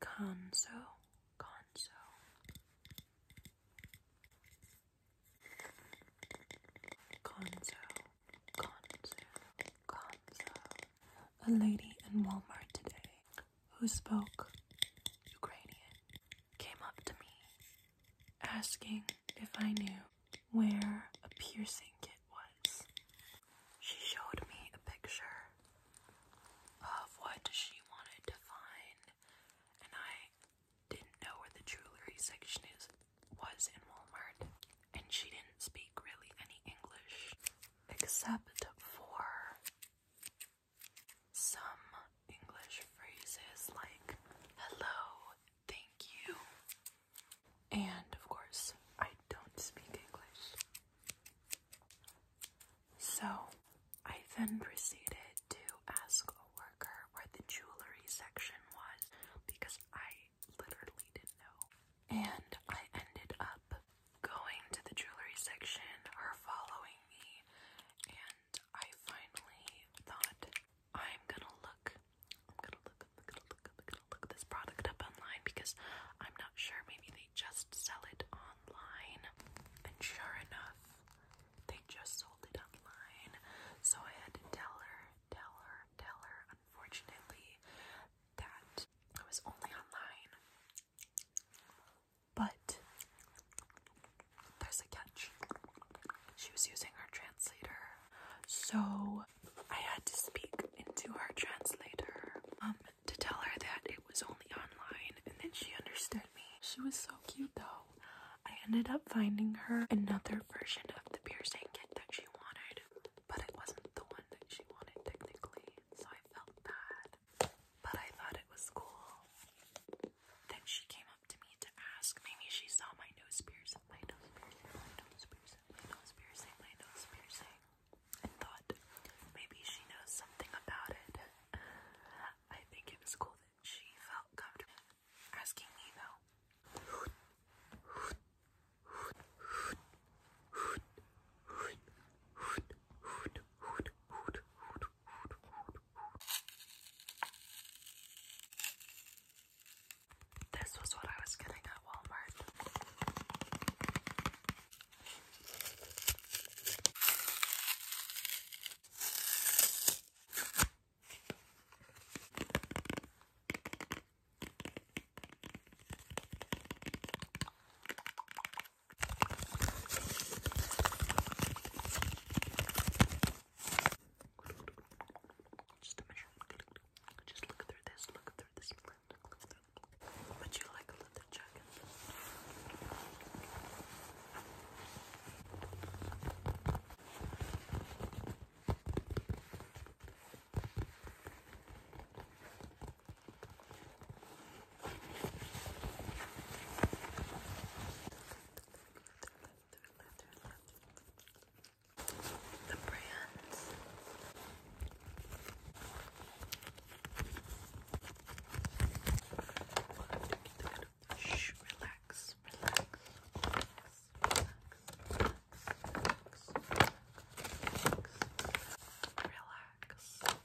Conso, Conso. Conzo, Conzo, Conzo. A lady in Walmart today who spoke Ukrainian came up to me asking if I knew where a piercing kit was. She showed me a picture of what she wanted to find, and I didn't know where the jewelry section is was in Walmart, and she didn't speak really any English except for some English phrases like hello, thank you, and of course, I don't speak English. So I then proceeded to ask a worker where the jewelry section was because I literally didn't know. And I ended up going to the jewelry section, her following me, and I finally thought I'm gonna look, I'm gonna look, I'm gonna look, I'm gonna look this product up online because I'm not sure. Maybe they just sell it online, and sure enough, they just sold it online. So I had to tell her, tell her, tell her. Unfortunately, that it was only online. But there's a catch. She was using her translator. So I had to speak into her translator um, to tell her that it was only online and then she understood me. She was so cute though. I ended up finding her another version of the piercing kit that she wanted, but it wasn't the one that she wanted technically, so I felt bad. But I thought it was cool. Then she came up to me to ask. Maybe she saw my nose piercing, my nose piercing, my nose piercing, my nose piercing, my nose piercing, and thought maybe she knows something about it. I think it was cool that she felt comfortable asking me though. This was what I was getting at Walmart. Just to measure. Just look through this, look through this lens, look through. Would you like a leather jacket? The brands Shh, relax, relax, relax, relax, relax, relax.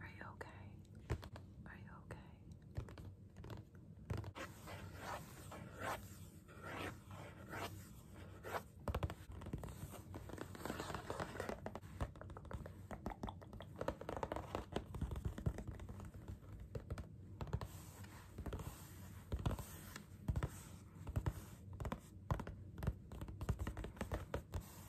Are you okay? Are you okay?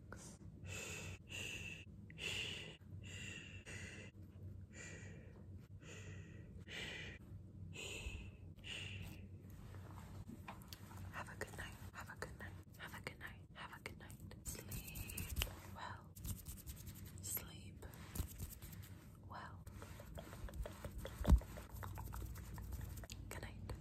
relax. Have a good night. Have a good night. Have a good night. Have a good night. Sleep well. Sleep well. Good night.